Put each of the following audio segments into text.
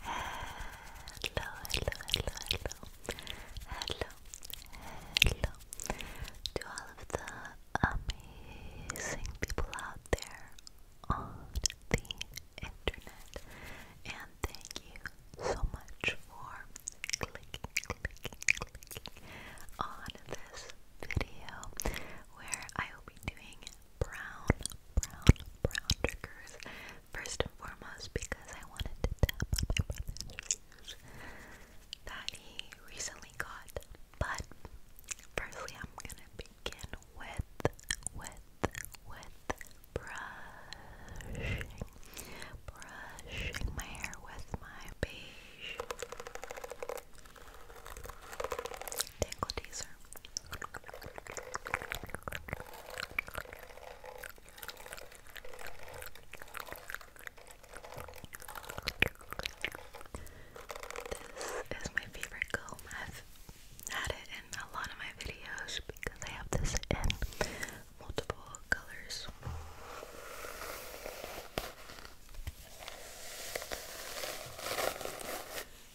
hello, hello, hello, hello, hello to all of the amazing people out there on the internet, and thank you so much for clicking, clicking, clicking on this video where I will be doing brown, brown, brown triggers First and foremost, because I wanted to tell my brother that he recently got. But firstly, I'm gonna begin with, with, with brushing, brushing my hair with my beige tangle teaser. This is my favorite comb. I've had it in a lot of my videos because I have this in multiple colors.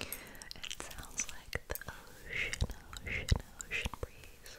It sounds like the ocean, ocean, ocean breeze.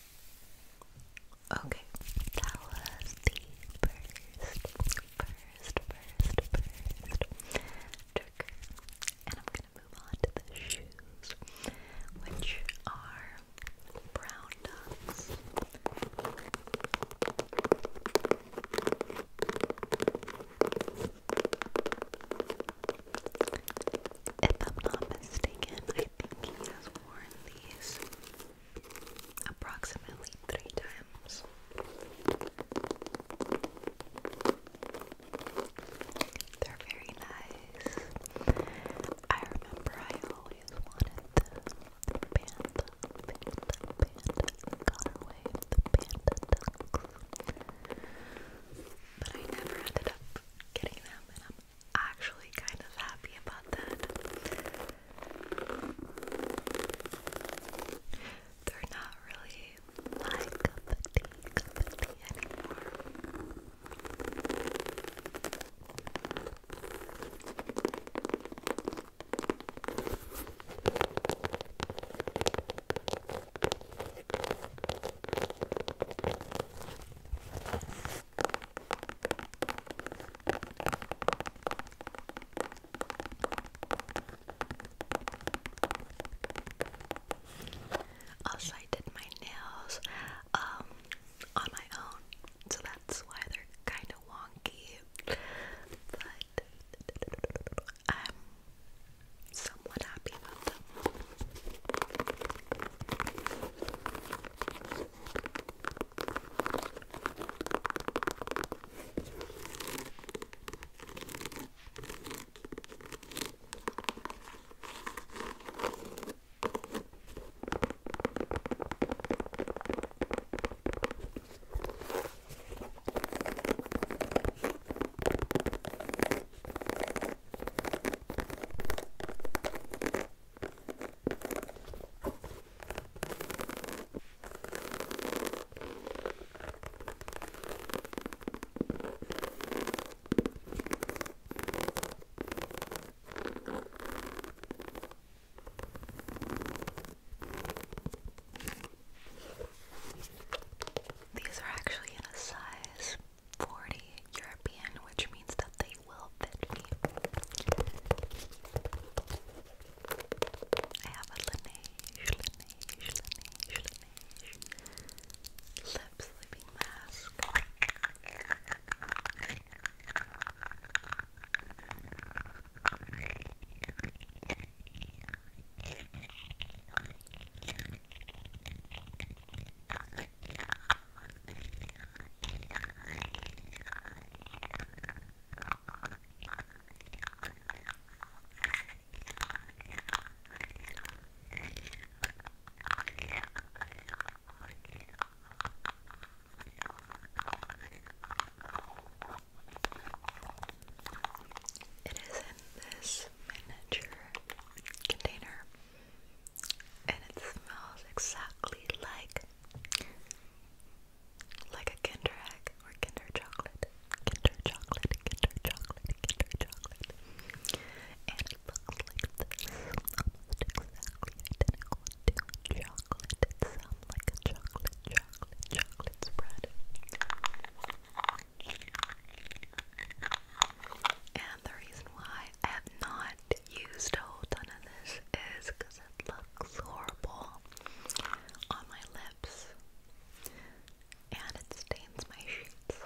Okay, that was the first, first, first, first trigger. And I'm gonna move on to the shoes, which are brown ducks. If I'm not mistaken, I think he has worn these approximately three times. They're very nice. I remember I always wanted the panda, panda, panda, got away the panda But I never ended up getting them, actually kind of happy about that. They're not really my cup of anymore. Also, I did my nails um, on my own, so that's why they're kind of wonky. But I'm um, so I'm not happy about them. These are actually in a size 40 European, which means that they will fit me. I have a Laneige, Laneige, Laneige, Laneige lip sleeping mask. It is in this miniature container and it smells exactly like like a Kinder Egg or Kinder Chocolate. Kinder Chocolate, Kinder Chocolate, Kinder Chocolate. And it looks like this. Almost exactly identical to chocolate. It sounds like a chocolate, chocolate, chocolate spread. And the reason why I have not used a whole ton of this is because it looks horrible on my lips and it stains my sheets.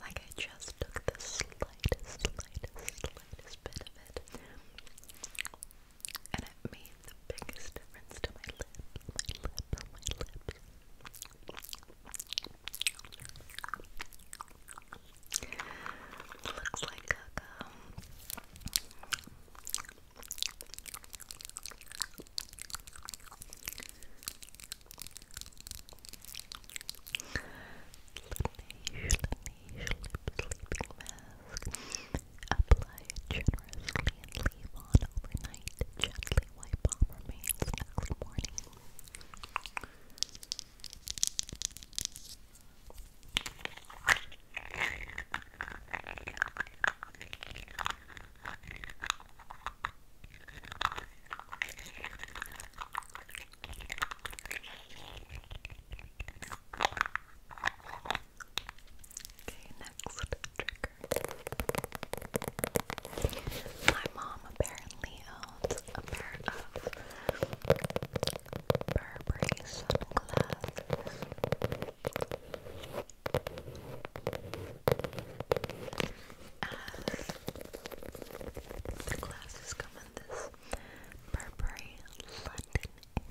Like I just took the slightest, slightest, slightest bit of it and it made the biggest difference to my lip, my lip, my lip. Looks like caca. Um, sleeping mask. Apply generously leave on overnight. Gently wipe off remains next morning. Okay, next trigger. My mom apparently owns a pair of Burberry sunglasses. the glasses come in this Burberry London, England,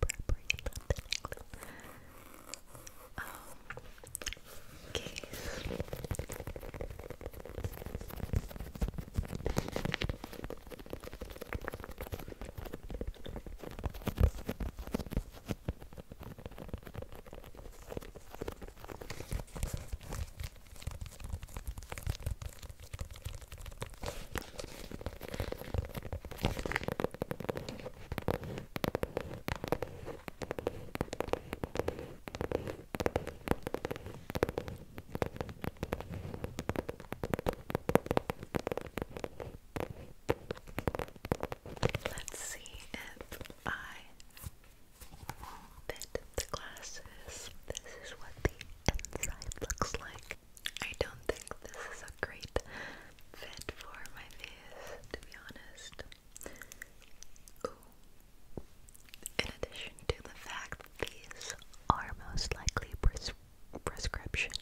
properly London, England. Um, okay. Let's see if I fit the glasses. This is what the inside looks like. I don't think this is a great fit for my face, to be honest. In addition to the fact these are most likely pres prescription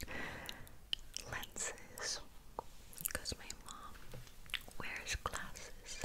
lenses, because my mom wears glasses.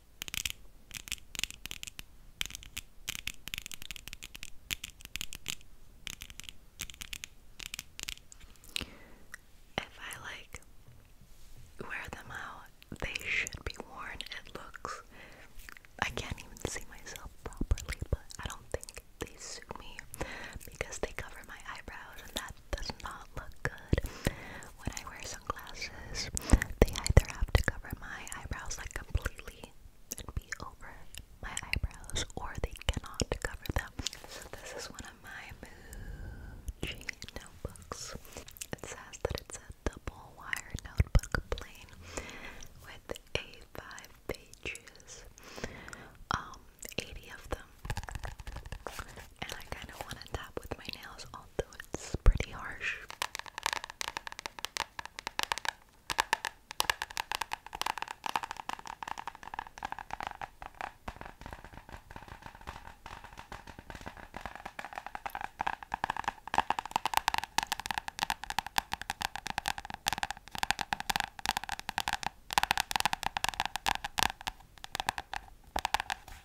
If I like wear them out, they should be worn. It looks I can't even see myself properly, but I don't think they suit me because they cover my eyebrows and that does not look good when I wear sunglasses. They either have to cover my eyebrows like completely and be over my eyebrows, or they cannot cover them. So this is one of my Muji notebooks. It says that it's a double wire notebook plane with a five pages. Um, 80 of them and I kind of want to tap with my nails, although it's pretty harsh.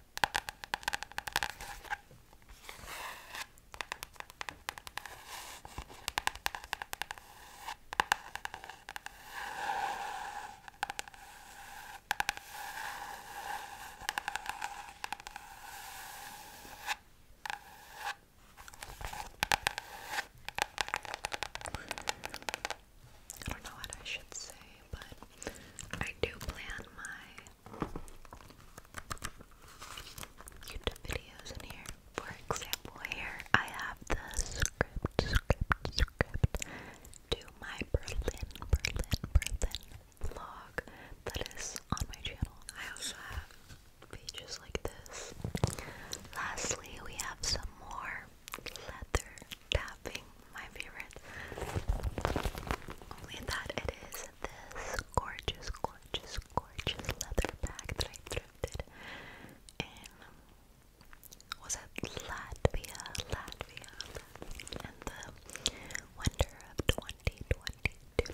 I don't know what I should say, but I do plan my YouTube videos in here. For example, here I have the script, to my Berlin, Berlin, Berlin vlog that is on my channel. I also have pages like this. Lastly, we have some more leather tapping my favorites. Only that it is this gorgeous, gorgeous, gorgeous leather bag that I thrifted in was it Latvia, Latvia, Latvia the winter of 2022.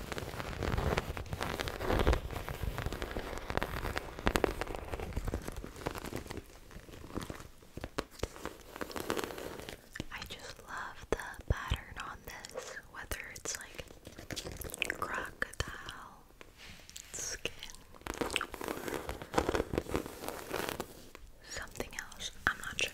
I just love the pattern on this, whether it's like crocodile skin something else. I'm not sure.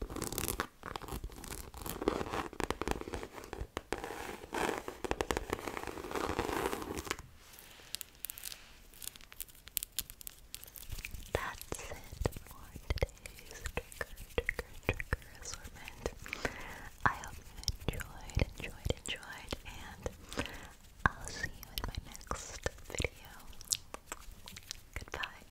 That's it for today's trigger, trigger, trigger assortment. I hope you enjoyed, enjoyed, enjoyed, and I'll see you in my next video. Goodbye.